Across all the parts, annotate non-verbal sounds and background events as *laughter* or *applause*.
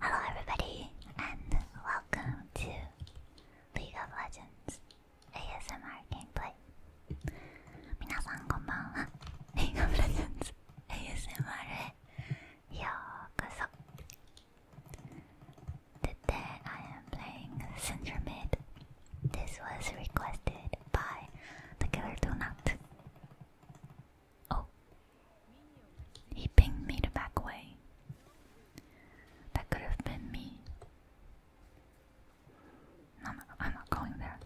Hello, everybody, and welcome to League of Legends ASMR Gameplay. 皆さんこんばんは。League of Legends ASMR へようこそ。Today I am playing Syndra Mid. This was requested by the killer donut. Oh, he pinged me to back away. That could have been me. No, I'm not going there.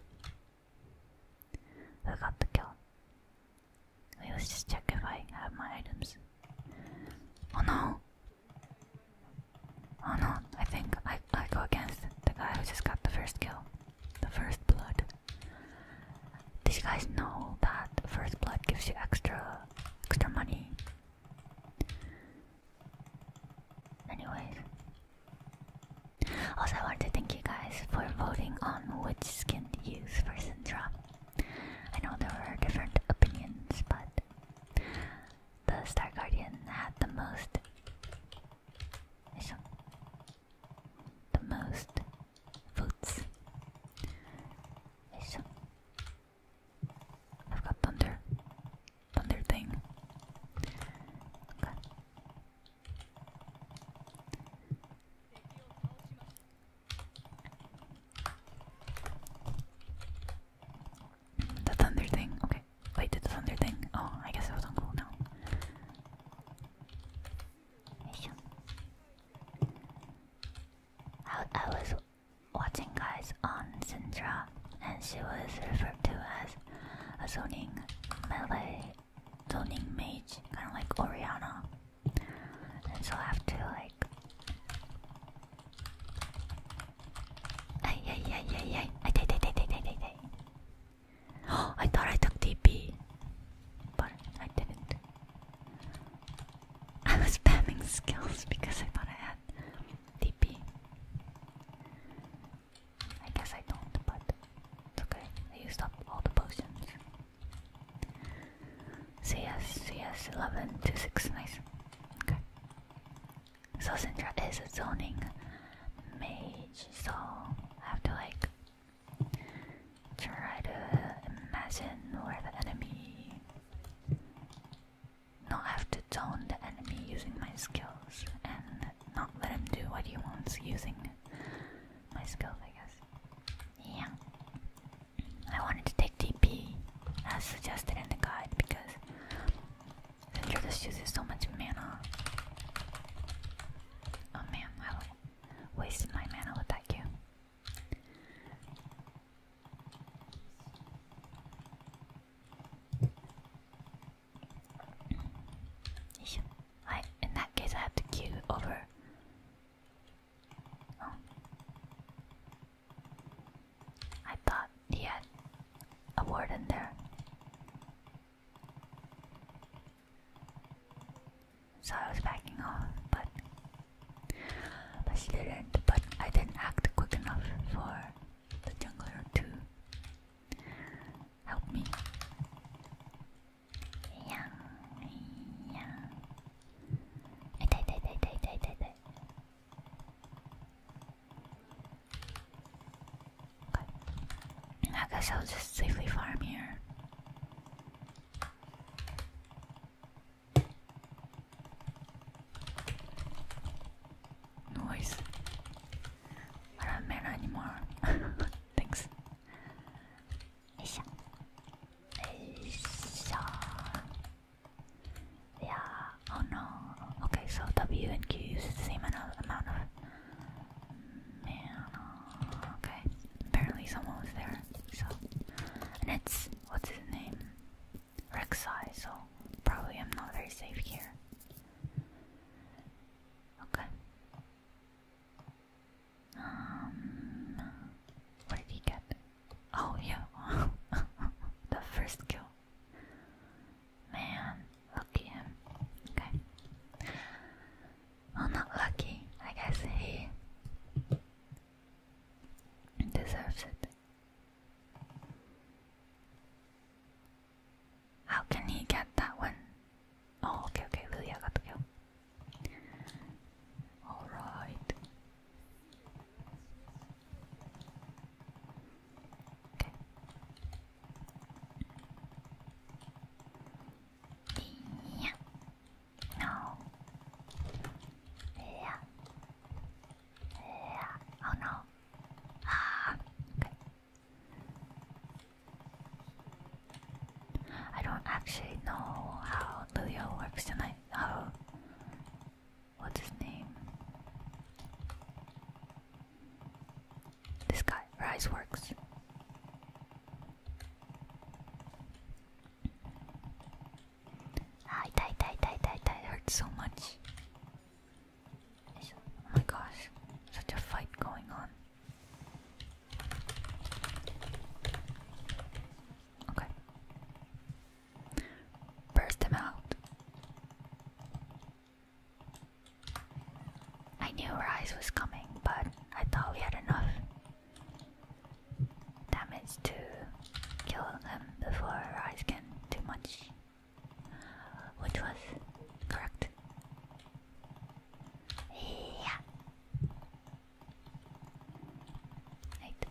Who got the kill? let's just check if I have my items. Oh no! Oh no, I think I, I go against the guy who just got the first kill. The first blood. Did you guys know that First Blood gives you extra extra money? Anyways. Also I wanted to thank you guys for voting on which skin to use for Syndra. I know there were different opinions, but the Star Guardian had the most the most votes. I've got thunder, thunder thing. The thunder thing, okay. Wait, did the thunder thing? Oh, I guess it was on cool I, was watching guys on Sintra, and she was referred to as a zoning melee, zoning mage, kind of like Oriana. And so I have to like. Ay, ay, ay, I, I, I, I, I, I, I. I thought I took DB, but I didn't. I was spamming skills because I thought I had DP. I guess I don't, but it's okay. I used up all the potions. CS, CS 11 to 6, nice. Okay. So Syndra is a zoning mage, so I have to like Try to imagine where the enemy. Not have to tone the enemy using my skills and not let him do what he wants using my skills, I guess. Yeah. I wanted to take DP as suggested in the guide because this uses so much mana. Oh man, I wasted my mana with that Q in that case, I have to cue over. Oh. I thought he a word in there. So I was backing off, but but she didn't. But I didn't act quick enough for the jungler to help me. Yeah, yeah. I died, died, died, died, died, died, died. I guess I'll just safely farm here. Noise. I don't matter anymore. *laughs* Thanks. Yeah. Oh no. Okay, so W and Q use the same amount of mm, Okay, apparently someone was there. So, and it's what's his name, Rek'Sai. So probably I'm not very safe here. Okay. Um, what did he get? Oh yeah, *laughs* the first kill. Man, look at him. Okay. Well, not lucky. I guess he deserves it. How can he get that one? Oh, okay, okay, Lilia got the Alright. Okay. Yeah. No. Yeah. Yeah. Oh no. Ah. Okay. I don't actually know how Leo works tonight. How? Oh. What's his name? This guy, Rise works. Ah, die, die, die, die, die. It so much. Oh my gosh, such a fight going on. Okay. Burst them out. I knew Rise was coming, but I thought we had enough damage to kill him before I scan too much, which was correct. Yeah. Right.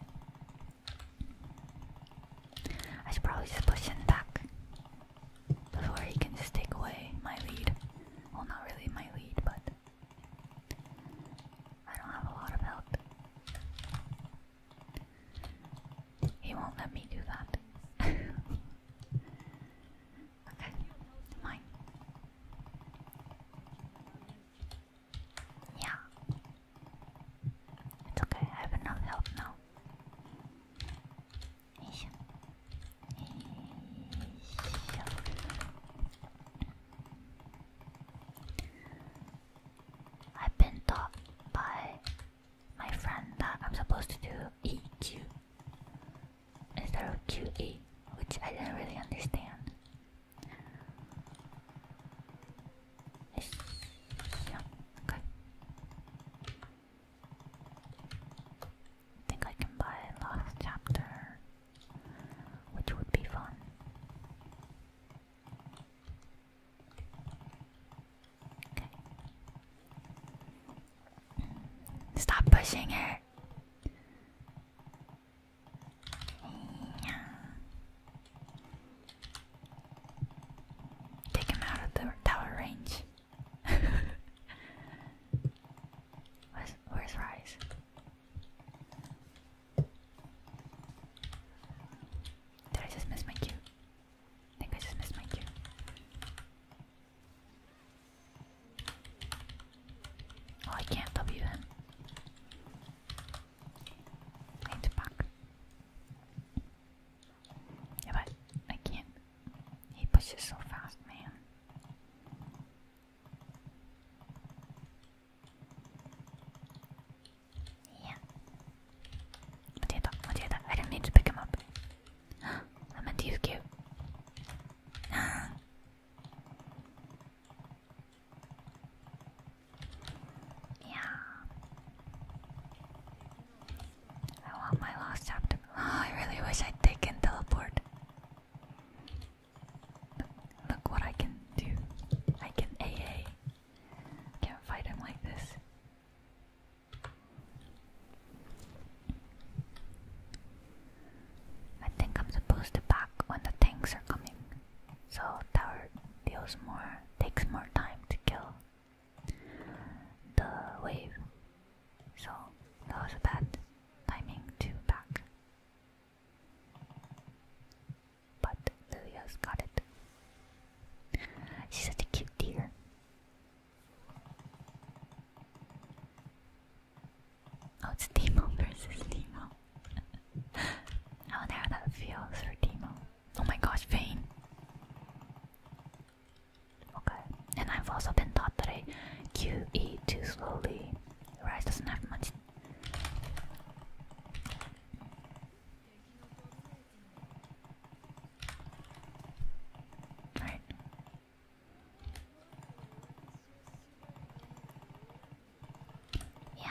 I should probably just push him back before he can just take away my lead. Well, not really my lead, but I don't have a lot of help. He won't let me do that. *laughs* okay, mine. Yeah. It's okay, I have enough health now. I've been taught by my friend that I'm supposed to do EQ instead of QE, which I didn't really understand. okay. think I can buy Lost Chapter which would be fun. Okay. Stop pushing her. Take him out of the tower range. *laughs* where's, where's Rise? Did I just miss my cue? I think I just missed my cue. Oh, I can't W him. I need to back. Yeah, but I He pushes so fast, man. Yeah. Potato, potato. I didn't mean to pick him up. I meant to use Q. yeah. I want my lost chapter. *gasps* I really wish I'd taken teleport. Look what I can do. I can AA. Can't fight him like this. I think I'm supposed to back when the tanks are coming. So tower deals more takes more time to kill the wave. So that was a bad timing to back. But lilia got it. She's such a cute deer. Oh, it's Demo versus Demo. I *laughs* wonder oh, how that feels for Demo. Oh my gosh, Vayne. Okay, and I've also been taught that I QE too slowly. Rice doesn't have much Right. Yeah.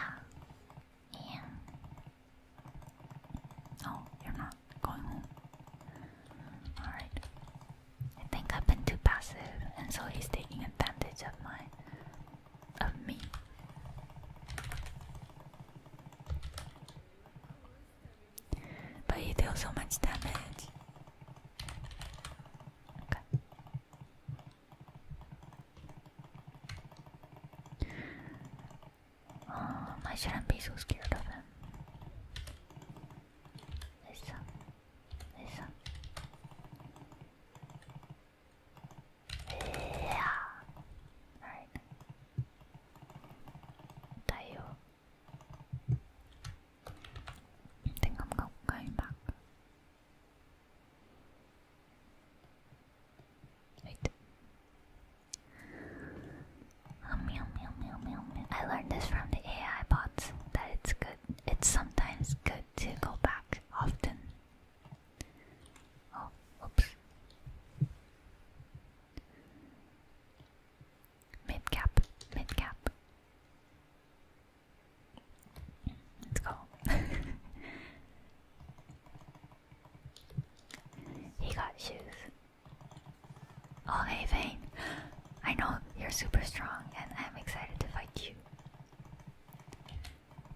Yeah. Oh, you're not going home. All right. I think I've been too passive, and so he's taking advantage of my of me. But he deals so much damage. Okay. Um, I shouldn't be so scared of him. Listen, listen. Yeah. Alright. Tayo. I think I'm go going back. Wait. Oh, I learned this from the AI bots that it's good. It's sometimes good to go back often. Oh, oops. Mid cap, Let's go. *laughs* he got shoes. Oh, hey, Vane. *gasps* I know you're super strong, and I'm excited to fight you.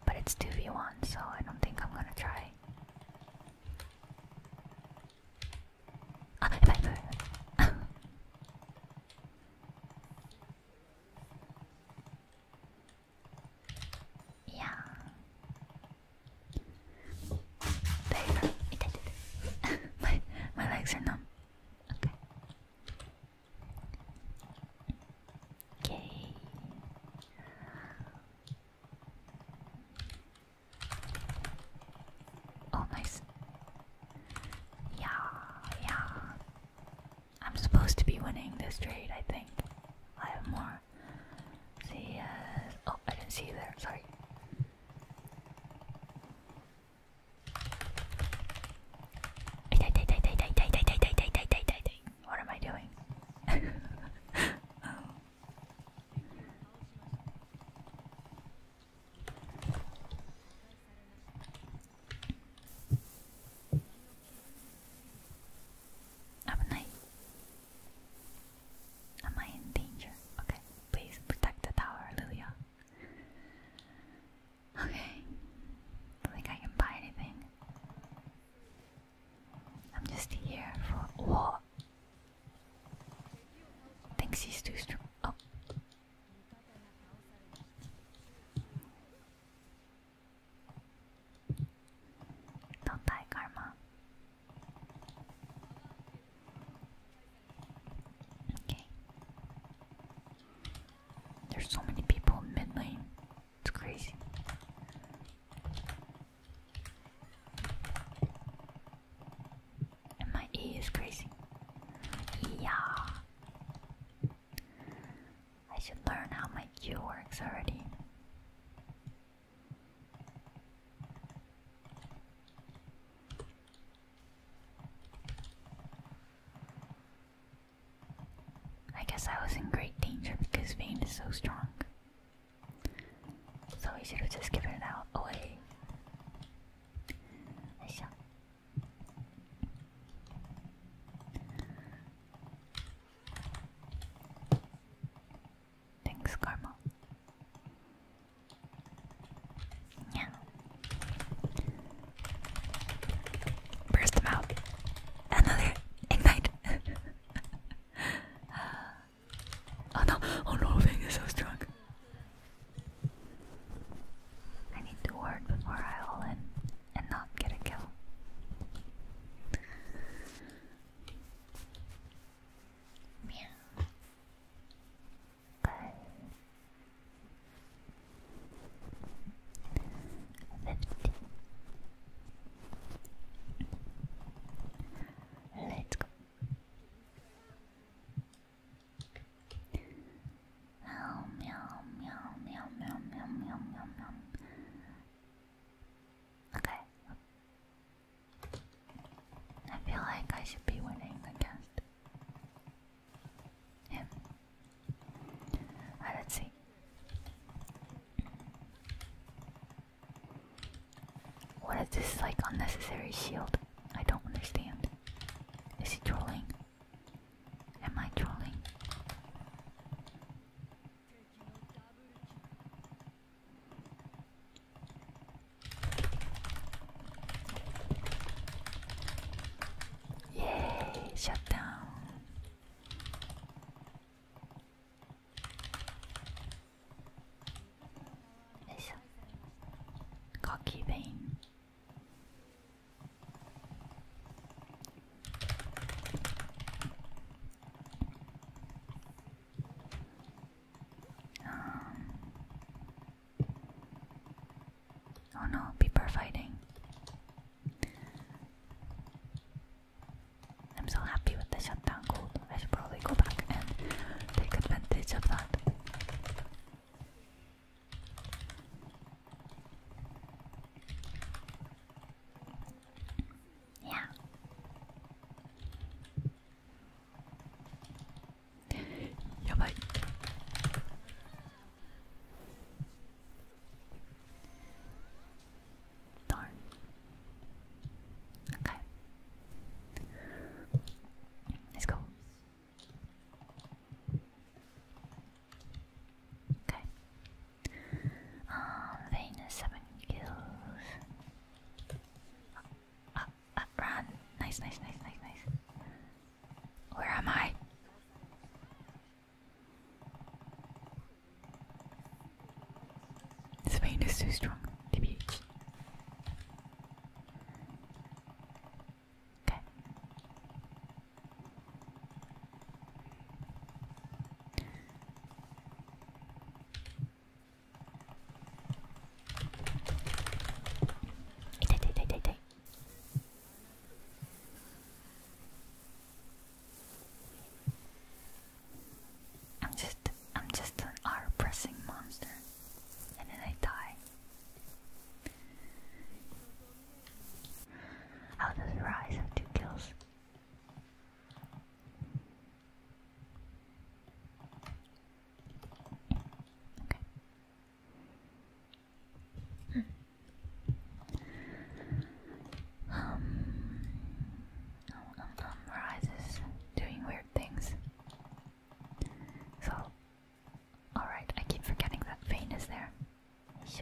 But it's 2v1, so I don't think I'm gonna try. Ah, if I *laughs* Yeah. There you go. *laughs* my, my legs are numb. Okay. Okay. Oh, nice. Yeah, yeah. I'm supposed to be winning this trade, I think. I have more. See, uh, oh, I didn't see there. Sorry. *laughs* What am I doing? oh. *laughs* Am I in danger? Okay, please protect the tower, Lilia. Okay. I think I can buy anything. I'm just here for what? Thinks he's too strong. Oh. Don't die, Karma. Okay. There's so many people in mid lane. It's crazy. And my E is crazy. Yeah. I should learn how my Q works already. I guess I was in great danger because Vayne is so strong. So he should have just given it out away. Thanks, Karma. Yeah. Burst them out. Another ignite. *laughs* oh no! Oh no! Fang is so strong. I need to ward before I all in and not get a kill. Meow. Bye. Fifty. Let's go. Meow meow meow meow meow meow meow meow meow. Okay. I feel like I should be winning the cast. Ah, let's see. What is this like unnecessary shield? I don't understand. Is he trolling? Am I trolling? Yay, shut down. いしょカキベインあ Oh no, people are fighting. I'm so happy with the shutdown gold. I should probably go back and take advantage of that. Yeah. Yeah, Darn. Okay. Let's go. Okay. Um, Venus, seven kills. Uh, uh, uh, run! Nice, nice, nice, nice, nice. Where am I? This pain is too strong, TBH. Okay. Itay, itay, itay, itay. I'm just I'm just an R pressing monster and then I die. How does Rise have two kills? Okay. Um, um, um, doing weird things. So, alright, I keep forgetting that vein is there. Okay.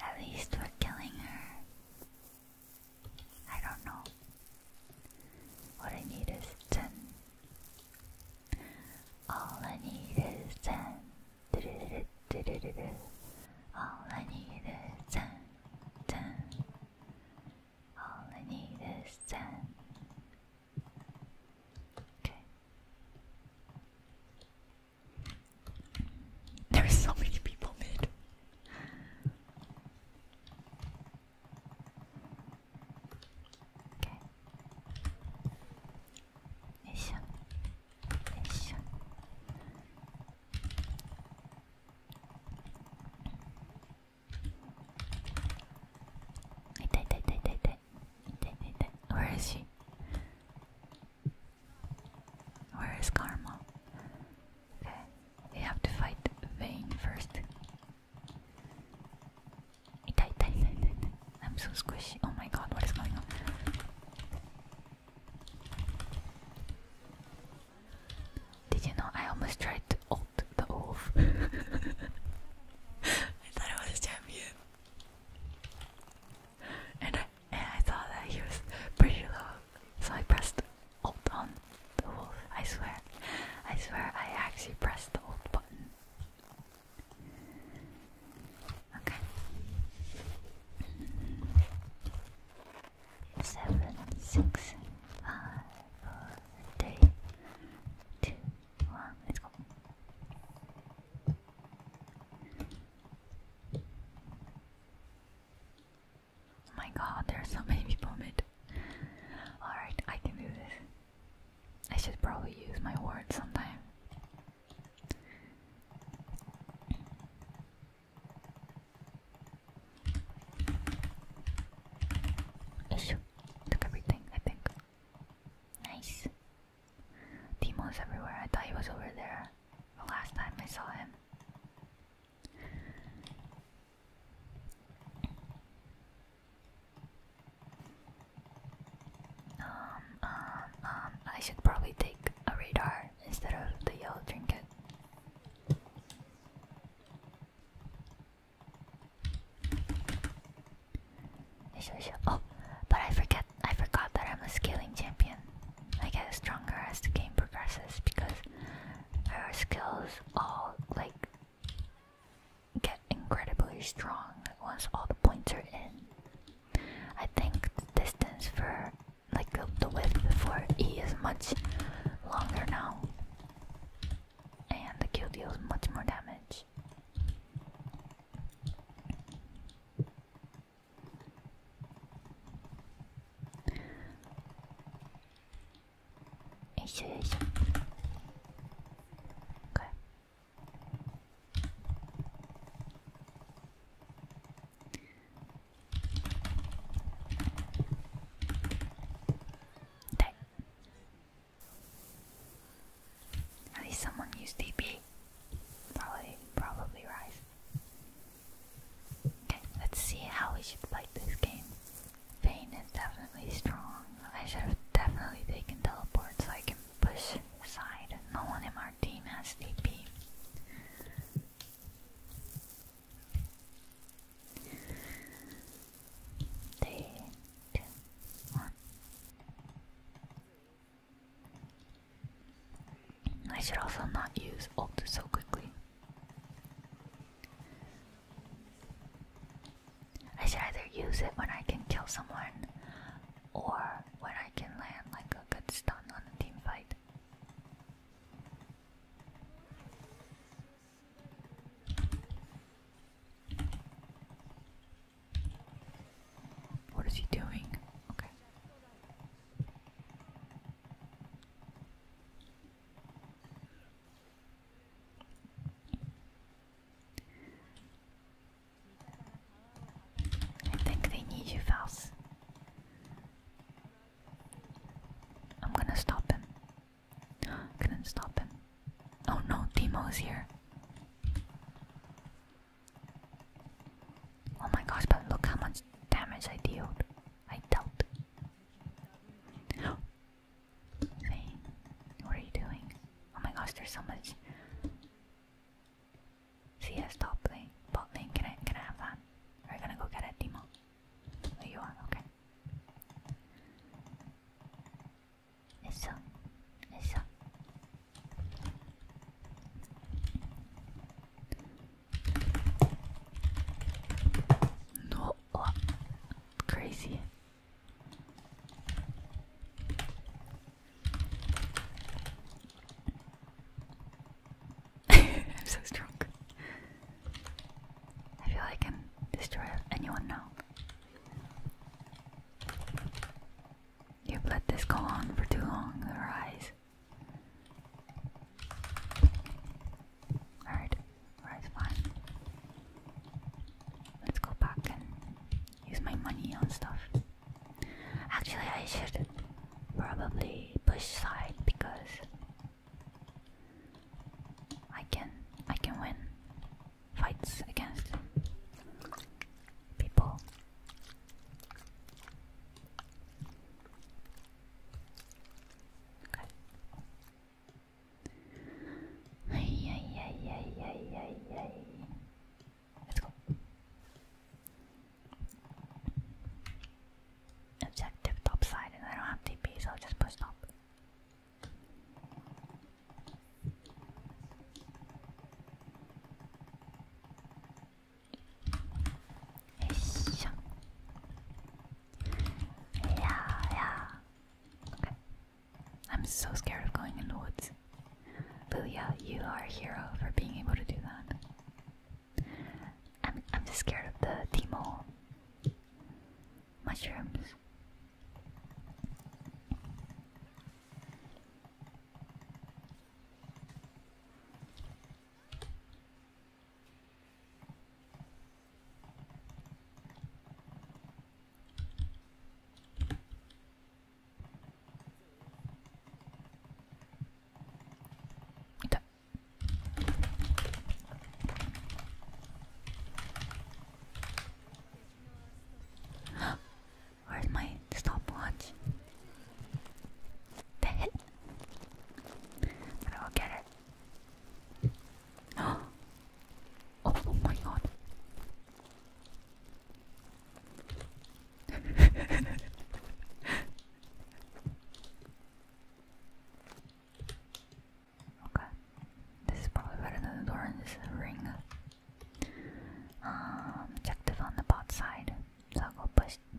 At least we're killing her. I don't know. What I need is 10. All I need is 10. Du -du -du -du -du -du All I need is 10. 10. All I need is 10. Okay. There are so many people mid. Okay. Yes. Yes. Where is she? Where is Karma? Okay, we have to fight Vayne first. I'm so squishy. Oh my god, what is going on? Did you know I almost tried to ult the wolf? *laughs* I thought I was a champion and I, and I saw that he was pretty low, so I pressed Alt on the wolf. I swear, I swear, I actually pressed the Alt button. Okay. Seven, six, five, four, three, two, one. Let's go. Oh my god, There are so many people in. Alright, I can do this. I should probably use my words sometime. Issue. Took everything, I think. Nice. Demo's everywhere. I thought he was over there the last time I saw him. Um, um, um, I should probably take a radar instead of the yellow drink trinket. Oh, but I forget I forgot that I'm a scaling champion. I get stronger as the game progresses because our skills all like get incredibly strong once all the points are in. I think the distance for like the whip before E is much longer now. And the kill deals much more damage. よいしょよいしょ okay. At least someone used DB. Probably, probably Rise. Okay, let's see how we should fight this game. Vayne is definitely strong. I should have definitely taken teleport so I can push aside. No one in our team has DP. Three, two, one. I should also not use ult so quickly. I should either use it when I can kill someone or when I can land like a good stun on a team fight. What is he doing? Okay. I think they need you, Vals. I'm gonna stop him. *gasps* Couldn't stop him. Oh no, Timo's here. Oh my gosh, but look how much damage I dealt. I dealt. Fane, what are you doing? Oh my gosh, there's so much. CS top lane, bot lane, can I, can I have that? we gonna go get a Demo. There you are, okay. It's up, it's up. No, oh, crazy. *laughs* I'm so strong. I feel I can destroy anyone now. You've let this go on for too long, their Alright, alright, fine. Let's go back and use my money on stuff. Actually, I should probably push side because I can I can win fights against people. Okay. Ay, ay, ay, ay, ay, ay. Let's go. Objective top side, and I don't have TP, so I'll just push top. よいしょいやーやー okay. I'm so scared of going in the woods Booyah, you are a hero for being able to do that I'm, I'm just scared of the Timo mushrooms where is my stopwatch? But I will get it. *gasps* Oh, oh my god. *laughs* okay. This is probably better than the door and this is a ring. Um objective on the bot side. So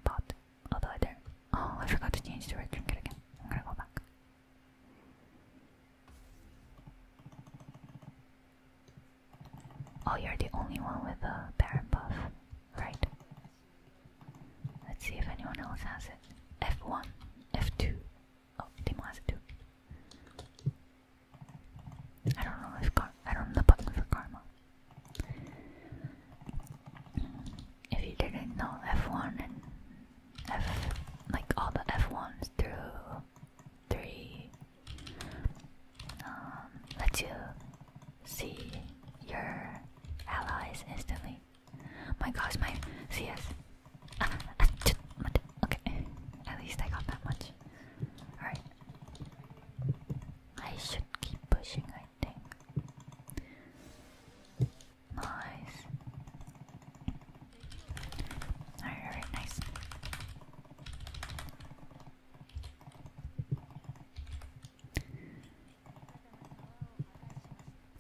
bot although I Oh, I forgot to change the red again. I'm gonna go back. Oh, you're the only one with a Baron buff, right? Let's see if anyone else has it. F1, F2. Oh, Timo has it too. I don't know if car I don't know the button for karma. If you didn't know, F1 and F, like all the F1s through 3, um, lets you see your allies instantly. My gosh, my CS. *laughs* okay, at least I got that much. Alright. I should keep pushing, I think. Nice. Alright, nice.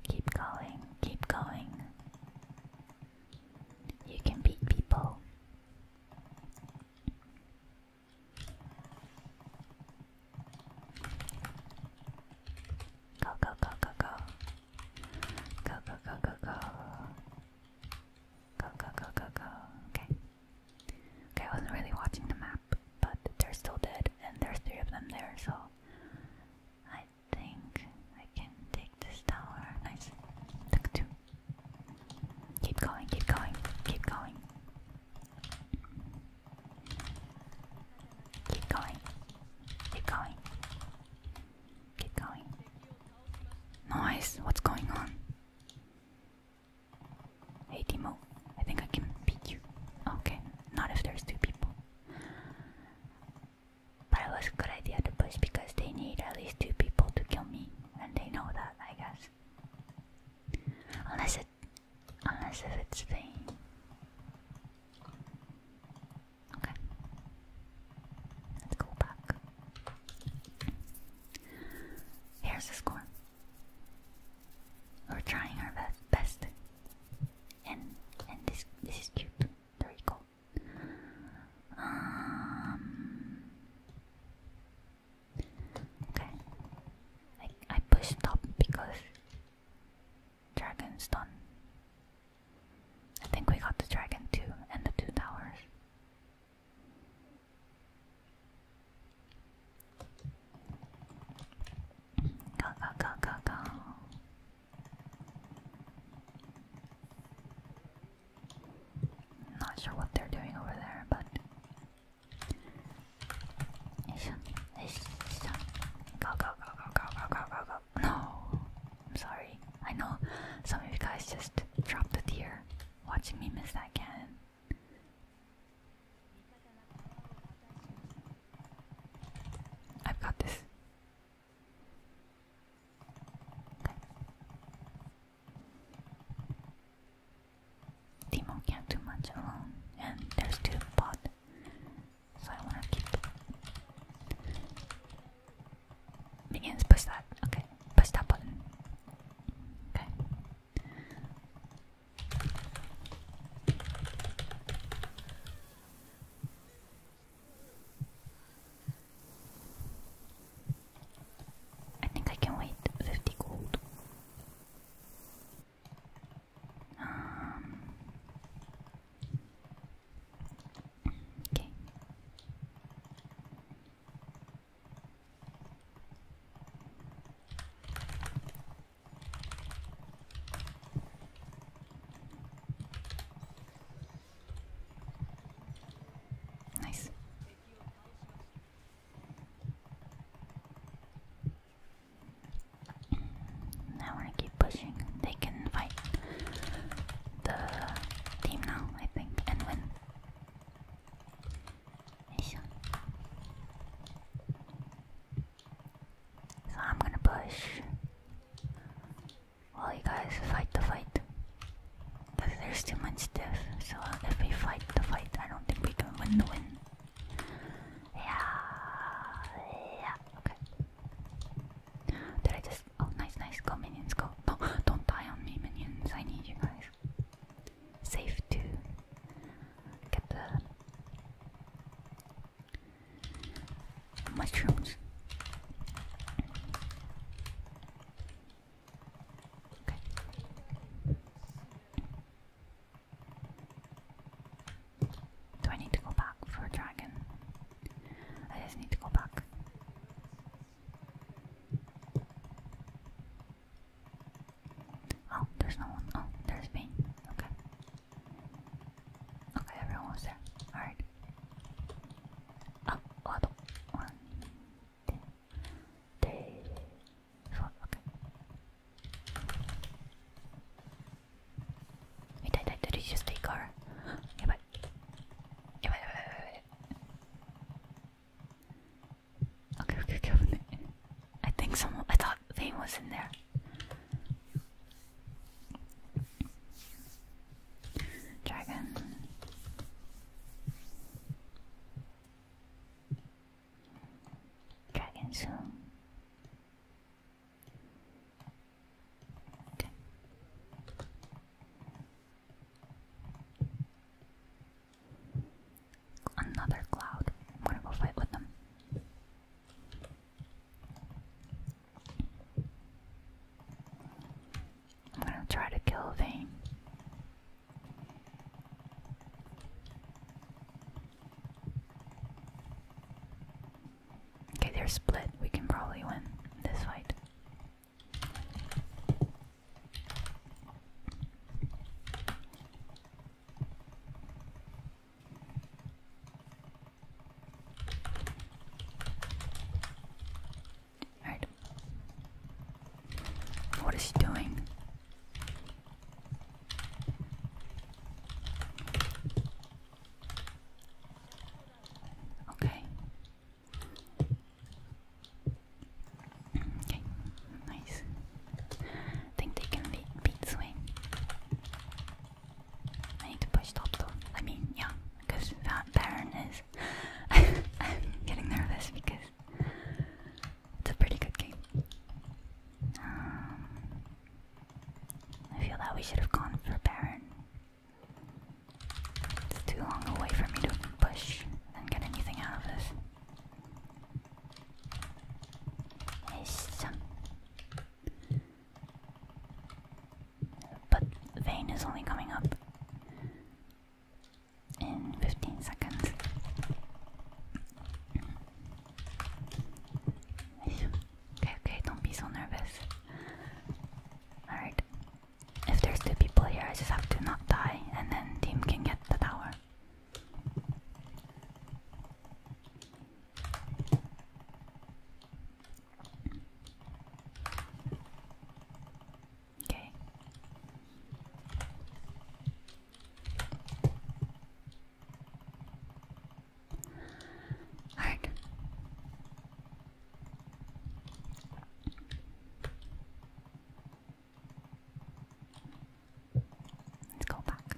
Keep going, keep going. You can beat people. Go, go, go, go, go. Go, go, go, go, go. Go, go, go, go, go. Okay. Okay, I wasn't really watching the map, but they're still dead, and there's three of them there, so I think I can take this tower. Nice. Took two. Keep going, keep going, keep going. Keep going. Keep going. Keep going. Nice. What's going on? Hey Timo, I think I can beat you. Okay, not if there's two people. But it was a good idea to push because they need at least two people to kill me, and they know that, I guess. Unless Unless it's the Okay. Let's go back. Here's the score. We're trying our best. And and this this is cute. There you Um Okay. I, I pushed stop because dragon's done. I think we got the dragon too and the two towers. Go go go go go. Not sure what they're doing over there, but go go go go go go go go go no I'm sorry I know some of you guys just dropped a tear watching me miss that cannon I've got this Timo can't do much alone, and there's two pot, so I wanna keep. Begins, push that. Okay, push that button. Okay. I think I can wait 50 gold. Um, okay. Nice. Now we keep pushing. They can fight the team now, I think, and win. So I'm gonna push while you guys fight the fight. there's too much death, so if we fight the fight, I don't think we can win the win. Yeah, okay. Did I just. Oh, nice, nice. Go, minions, go. No, *laughs* don't die on me, minions. I need you guys. Safe to get the mushrooms. Okay. Do I need to go back for a dragon? I just need to go back. Oh, there's no one. Oh, there's me. Okay. Okay, everyone was there. Alright. Oh, one, two, three, this Wait, did, did, just take our... yeah, but... Yeah, but, but, Okay, okay, okay. I think someone... I thought Vayne was in there. Dragon. Dragon Zoom. Okay. Another cloud. I'm gonna go fight with them. I'm gonna try to kill Vayne. Okay, they're split. We can probably win this fight. Alright. What is he doing? Okay. Okay, nice. I think they can beat this I need to push top though. I mean, yeah, because that Baron is. *laughs* I'm getting nervous because it's a pretty good game. Um, I feel that we should have gone for Baron. It's too long away for me to push and get anything out of this. But Vayne is only coming up in 15 seconds. Okay, okay, don't be so nervous. Alright. If there's two people here, I just have to not die, and then team can get the tower. Okay. Heart. Let's go back.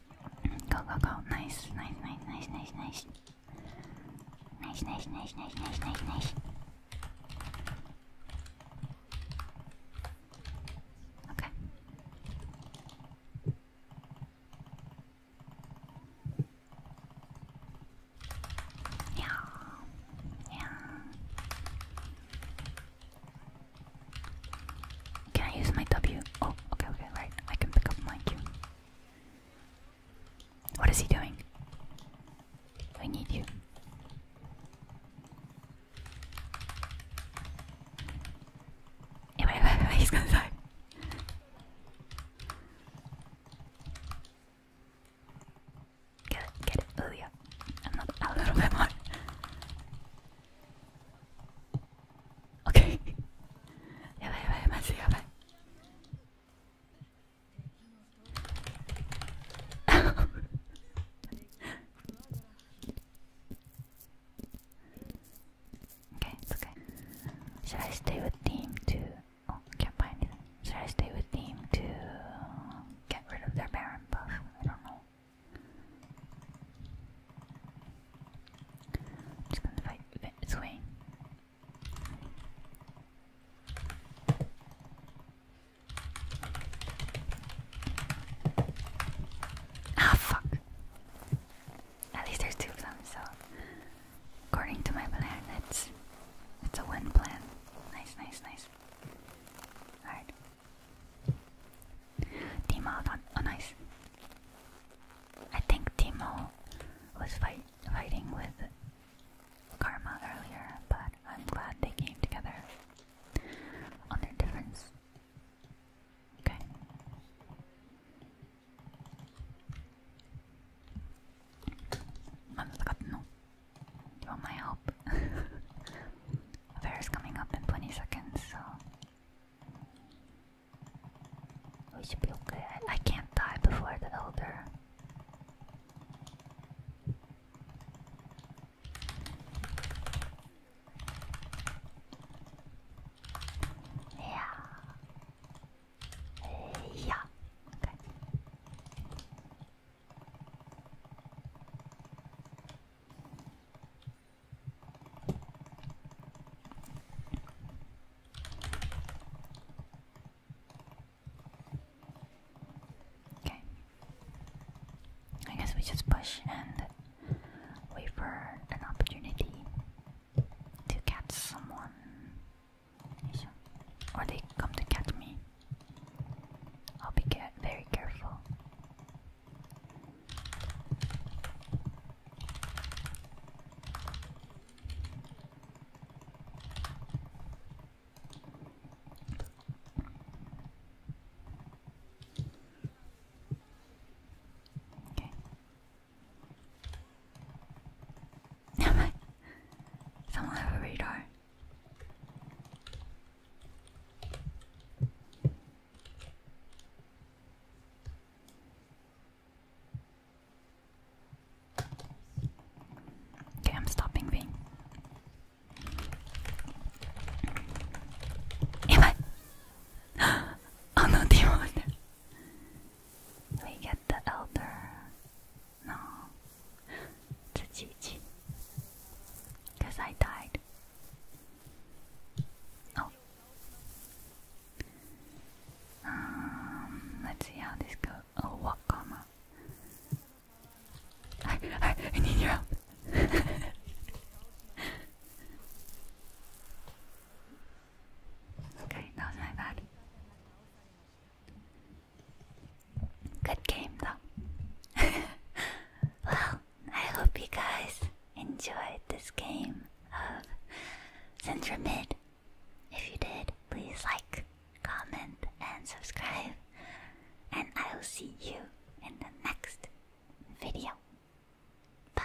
Go, go, go. Nice, nice, nice, nice, nice, nice. Nice, nice, nice, nice, nice, nice, nice. Okay. Yeah. Yeah. Can I use my W? Oh, okay, okay, right. I can pick up my Q. What is he doing? I need you. Wait, wait, wait, he's gonna die. Get it, get it, oh yeah. Another, a little bit more. OK，やばいやばいまずいやばい。okay, *laughs* *laughs* it's okay. Should I stay with team to? Oh, can't find it. Should I stay with team to get rid of their Baron buff? I don't know just gonna fight with Ah, fuck. At least there's two of them, so according to my plan, it's it's a win plan. Nice, nice, nice. Alright. Team out oh, I think Timo was fighting with Karma earlier, but I'm glad they came together on their difference. Okay. You want my help? *laughs* Fair coming up in 20 seconds, so we should be okay. I, I can't die before the elder. Yeah. Yeah. Okay. Okay. I guess we just push and wait for an opportunity to catch someone. Or they come to catch me. I'll be very careful. Okay. *laughs* Someone have a radar. Okay, I'm stopping being. Am I? *gasps* oh no, demon. We get the elder. No. Tsuchichi. Because I died. Oh, um, let's see how this goes. Oh, what comma? I, *laughs* I need your help. *laughs* okay, that was my bad. Good game though. *laughs* well, I hope you guys enjoyed this game of Central Mid. If you did, please like, comment, and subscribe. And I will see you in the next video. Bye.